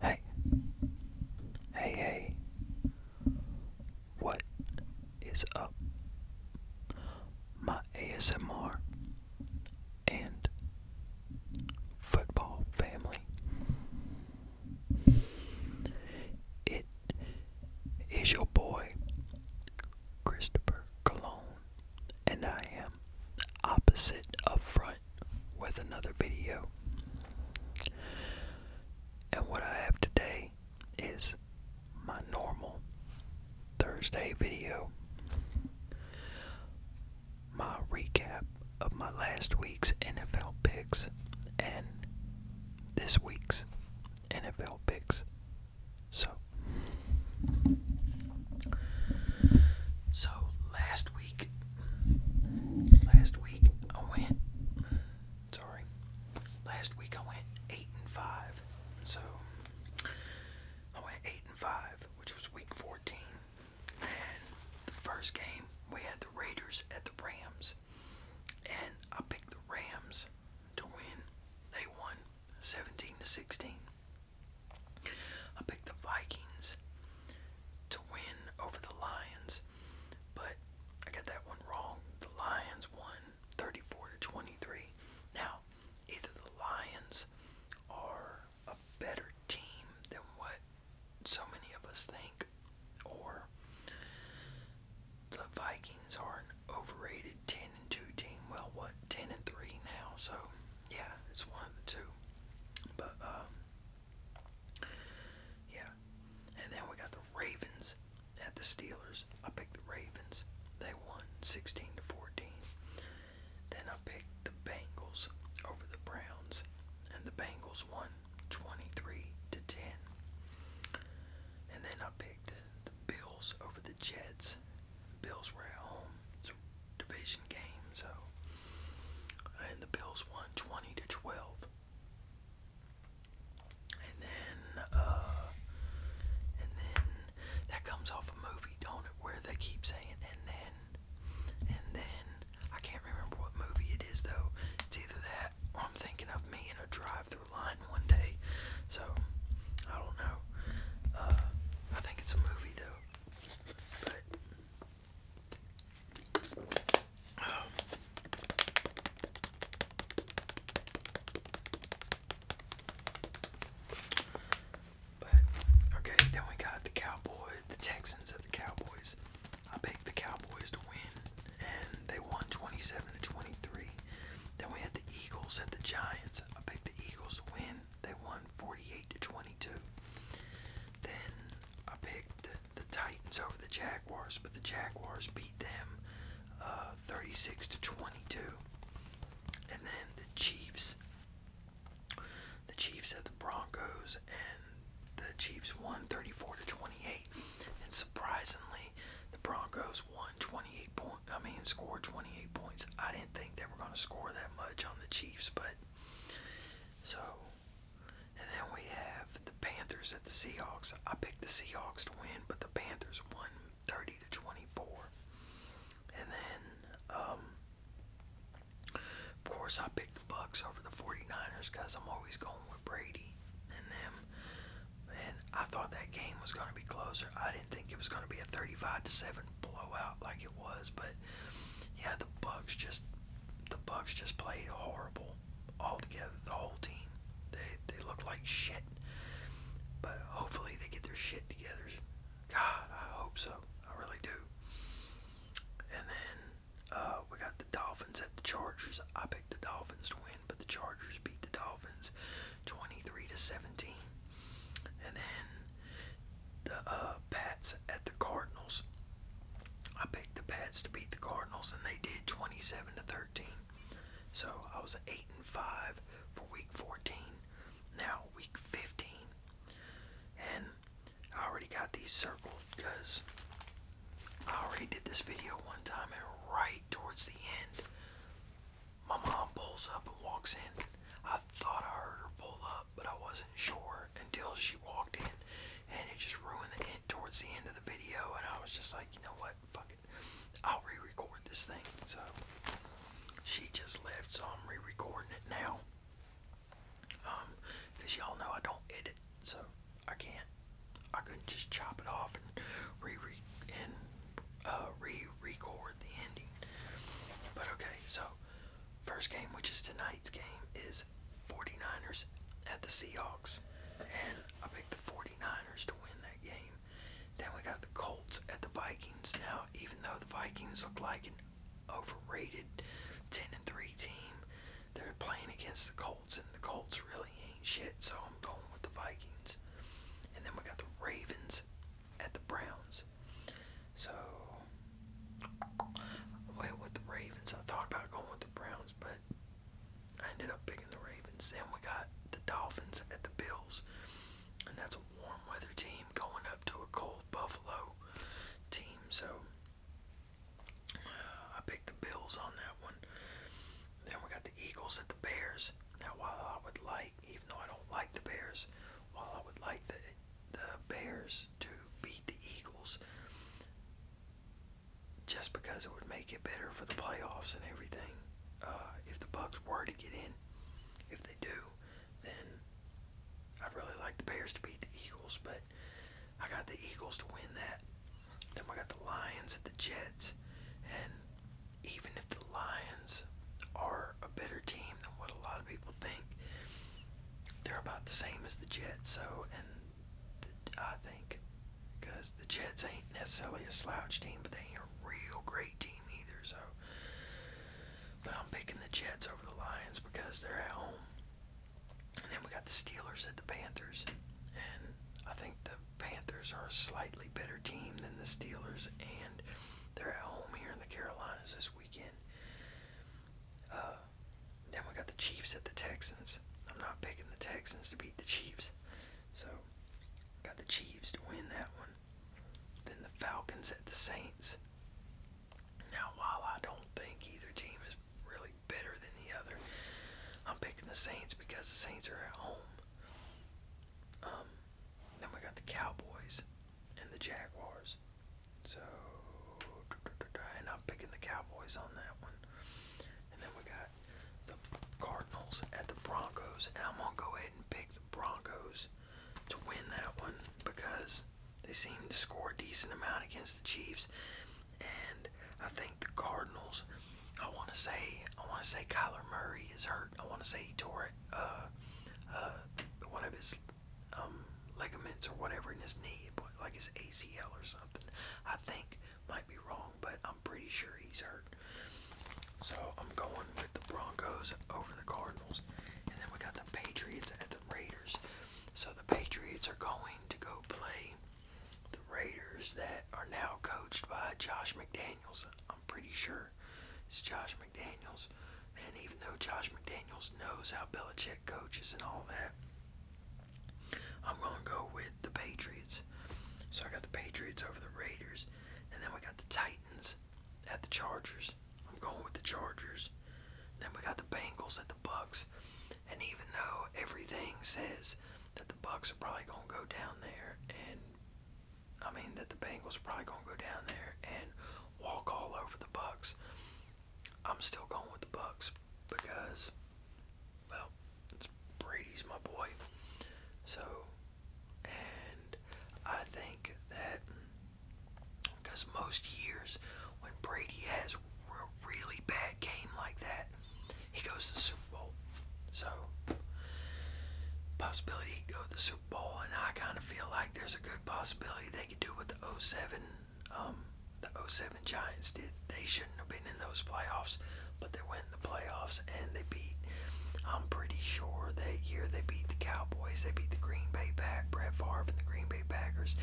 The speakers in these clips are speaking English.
Hey. Hey, hey. What is up? My ASMR and football family. It is your boy, Christopher Cologne, and I am opposite up front with another video. And what I have today is my normal Thursday video. My recap of my last week's NFL picks and this week's NFL picks so, so last week, last week I went. Sorry, last week I went eight and five. So I went eight and five, which was week fourteen, and the first game we had the Raiders at the Rams, and I picked the Rams to win. They won. 17 to 16. I picked the Vikings to win over the Lions, but I got that one wrong. The Lions won 34 to 23. Now, either the Lions are a better team than what so many of us think, or the Vikings are an overrated 10 and 2 team. Well, what 10 and 3 now, so yeah, it's one of the two. But um, yeah, and then we got the Ravens at the Steelers. I picked the Ravens. They won 16 to 14. Then I picked the Bengals over the Browns, and the Bengals won 23 to 10. And then I picked the Bills over the Jets, Bills. Bills were at home. It's a division game, so and the Bills won twenty to twelve. And then uh and then that comes off a movie, don't it, where they keep saying and then and then I can't remember what movie it is though. It's either that or I'm thinking of me in a drive through line one day. So I don't know. Uh, I think it's a movie though. But um, okay, then we got the Cowboys, the Texans at the Cowboys. I picked the Cowboys to win, and they won 27 to 23. Then we had the Eagles and the Giants. I picked the Eagles to win. They won 48 to 22. Then I picked the Titans over the Jaguars, but the Jaguars beat them uh, 36 to 22. And then the Chiefs. The Chiefs at the Broncos, and the Chiefs won 34 to 28. And surprisingly, the Broncos won 28 points I mean, scored 28 points. I didn't think they were going to score that much on the Chiefs, but so. And then we have the Panthers at the Seahawks. I picked the Seahawks to win, but the Panthers won 30 to 24. And then, um, of course, I picked the Bucks over the 49ers because I'm always going with Brady and them. Man, I thought that game was going to be closer. I didn't think it was going to be a 35 7 blowout like it was, but yeah, the Bucks just the Bucks just played horrible altogether. The whole team, they they look like shit. But hopefully they get their shit together. God, I hope so. I really do. And then uh, we got the Dolphins at the Chargers. I picked the Dolphins to win, but the Chargers beat the Dolphins 23 to 17. And then the uh, Pats at the Cardinals. I picked the Pats to beat the Cardinals, and they did 27 to 13. So I was 8 and 5 for week 14. Now week 15. And I already got these circled because I already did this video one time, and right towards the end, my mom pulls up and walks in. I thought I heard her pull up, but I wasn't sure until she walked in, and it just ruined it towards the end of the video. And I was just like, you know what, fuck it, I'll re-record this thing. So she just left, so I'm re-recording it now. Um, cause y'all know I don't edit, so I can't. I could just chop it off and re re and uh, re record the ending. But okay, so first game, which is tonight's game, is 49ers at the Seahawks, and I picked the 49ers to win that game. Then we got the Colts at the Vikings. Now, even though the Vikings look like an overrated 10 and 3 team, they're playing against the Colts and the Colts really ain't shit, so I'm going with the Vikings. And then we got the Ravens at the Browns. So, I with the Ravens. I thought about going with the Browns, but I ended up picking the Ravens. Then we got the Dolphins at the Bills. And that's a warm weather team going up to a cold Buffalo team. So, uh, I picked the Bills on that one. Then we got the the Eagles and the Bears. Now, while I would like, even though I don't like the Bears, while I would like the the Bears to beat the Eagles, just because it would make it better for the playoffs and everything. Uh, if the Bucks were to get in, if they do, then I'd really like the Bears to beat the Eagles, but I got the Eagles to win that. Then we got the Lions at the Jets. And even if the Lions are a better team than what a lot of people think, they're about the same as the Jets. So, and I think because the Jets ain't necessarily a slouch team, but they ain't a real great team either. So, but I'm picking the Jets over the Lions because they're at home. And then we got the Steelers at the Panthers. And I think the Panthers are a slightly better team than the Steelers, and they're at home here in the Carolinas this weekend. Uh, then we got the Chiefs at the Texans. I'm not picking the Texans to beat the Chiefs. So, got the Chiefs to win that one. Then the Falcons at the Saints. Now, while I don't think either team is really better than the other. I'm picking the Saints because the Saints are at home. Um, then we got the Cowboys and the Jaguars. So, and I'm picking the Cowboys on that one. And then we got the Cardinals at the Broncos, and I'm gonna go ahead and pick the Broncos to win that one because they seem to score a decent amount against the Chiefs and I think the Cardinals. I want to say I want to say Kyler Murray is hurt. I want to say he tore it, uh, uh, one of his um, ligaments or whatever in his knee, but like his ACL or something. I think might be wrong, but I'm pretty sure he's hurt. So I'm going with the Broncos over the Cardinals, and then we got the Patriots at the Raiders. So the Patriots are going to go play the Raiders that are now coached by Josh McDaniels. I'm pretty sure it's Josh McDaniels. And even though Josh McDaniels knows how Belichick coaches and all that, I'm going to go with the Patriots. So I got the Patriots over the Raiders. And then we got the Titans at the Chargers. I'm going with the Chargers. Then we got the Bengals at the Bucks. And even though everything says that the Bucks are probably gonna go down there, and I mean that the Bengals are probably gonna go down there and walk all over the Bucks, I'm still going with the Bucks because, well, Brady's my boy. So, and I think that because most years when Brady has a really bad game like that, he goes to the Super Bowl. So, possibility go to the Super Bowl, and I kind of feel like there's a good possibility they could do what the 07, um, the 07 Giants did. They shouldn't have been in those playoffs, but they went in the playoffs and they beat. I'm pretty sure that year they beat the Cowboys, they beat the Green Bay Pack, Brett Favre and the Green Bay Packers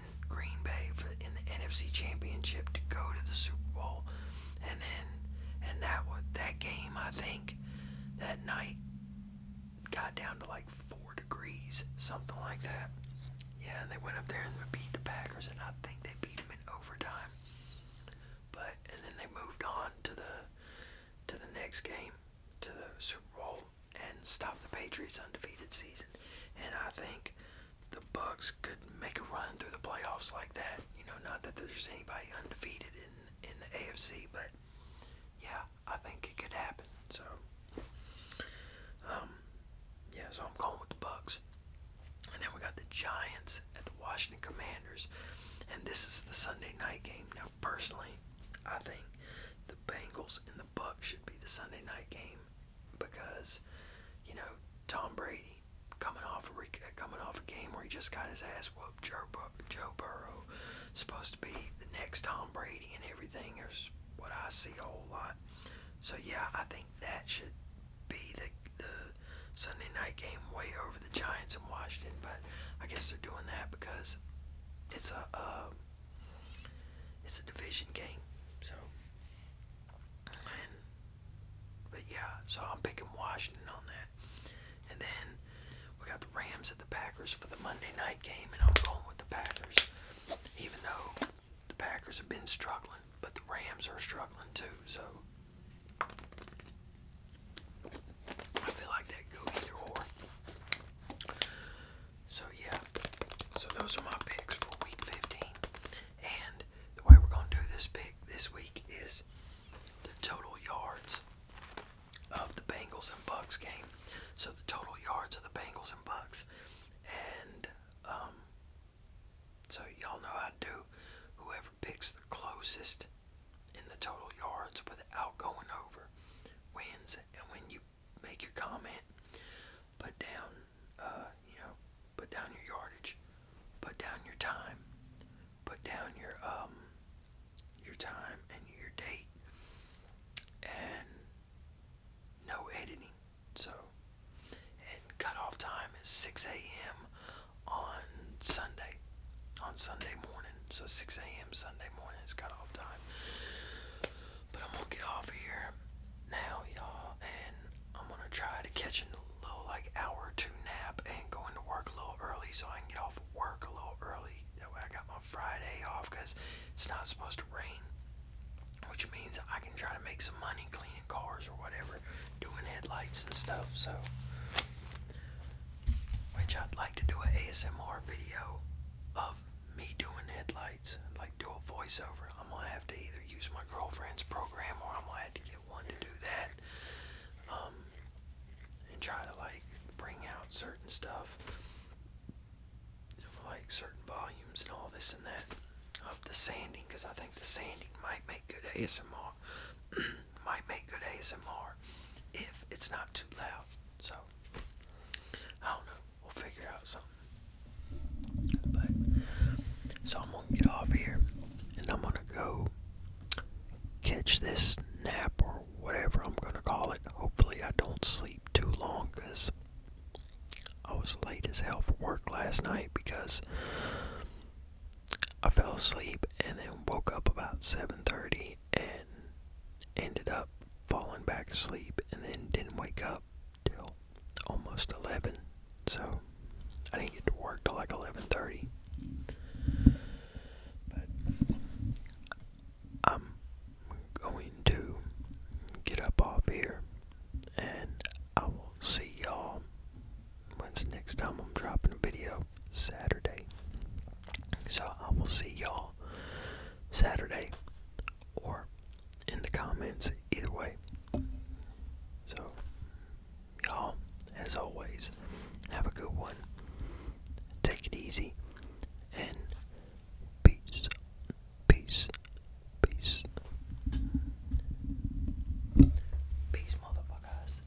in Green Bay for in the NFC Championship to go to the Super Bowl, and then and that was, that game I think that night got down to like four degrees, something like that. Yeah, and they went up there and beat the Packers, and I think they beat them in overtime. But and then they moved on to the to the next game, to the Super Bowl and stop the Patriots' undefeated season. And I think the Bucks could make a run through the playoffs like that. You know, not that there's anybody undefeated in in the AFC, but yeah, I think it could happen. So, um, yeah, so I'm going with the Bucks. And then we got the Giants at the Washington Commanders, and this is the Sunday night game. Now, personally, I think the Bengals and the Bucks should be the Sunday night game because you know Tom Brady coming off a coming off a game where he just got his ass whooped. Joe, Joe Burrow supposed to be the next Tom Brady and everything is what I see a whole lot. So yeah, I think that should be the the Sunday night game way over the Giants in Washington, but I guess they're doing that because it's a, a um, it's a division game, so. but yeah, so I'm picking Washington on that. And then we got the Rams and the Packers for the Monday night game, and I'm going with the Packers, even though the Packers have been struggling, but the Rams are struggling too, so. I feel like that could either or. So yeah, so those are my picks for week 15. And the way we're gonna do this pick this week is the total yards of the Bengals and Bucks game. So the total yards of the Bengals and Bucks. And um so y'all know I do whoever picks the closest in the total yards without going over wins and when you make your comment, put down, uh, you know, put down your yardage, put down your time, put down your um, your time and your date, and no editing. So, and cutoff time is 6 a.m. on Sunday, on Sunday morning so 6 a.m. Sunday morning is cut off time. But I'm gonna get off here now, y'all, and I'm gonna try to catch a little like hour or two nap and go into work a little early so I can get off work a little early. That way I got my Friday off because it's not supposed to rain, which means I can try to make some money cleaning cars or whatever, doing headlights and stuff. So, which I'd like to do an ASMR video of of me doing headlights, like do a voiceover, I'm gonna have to either use my girlfriend's program or I'm gonna have to get one to do that. Um, and try to like bring out certain stuff, like certain volumes and all this and that of the sanding, because I think the sanding might make good ASMR. might make good ASMR if it's not too loud. So I don't know. We'll figure out something. But so I'm gonna get off here, and I'm gonna go catch this nap or whatever I'm gonna call it. Hopefully I don't sleep too long, cause I was late as hell for work last night because I fell asleep and then woke up about 7:30 and ended up falling back asleep and then didn't wake up till almost 11 so i didn't get to work till like 11.30 but i'm going to get up off here and i will see y'all once the next time i'm dropping a video Saturday. So I will see y'all Saturday or in the comments, either way. So, y'all, as always, have a good one. Take it easy and peace, peace, peace. Peace, motherfuckers.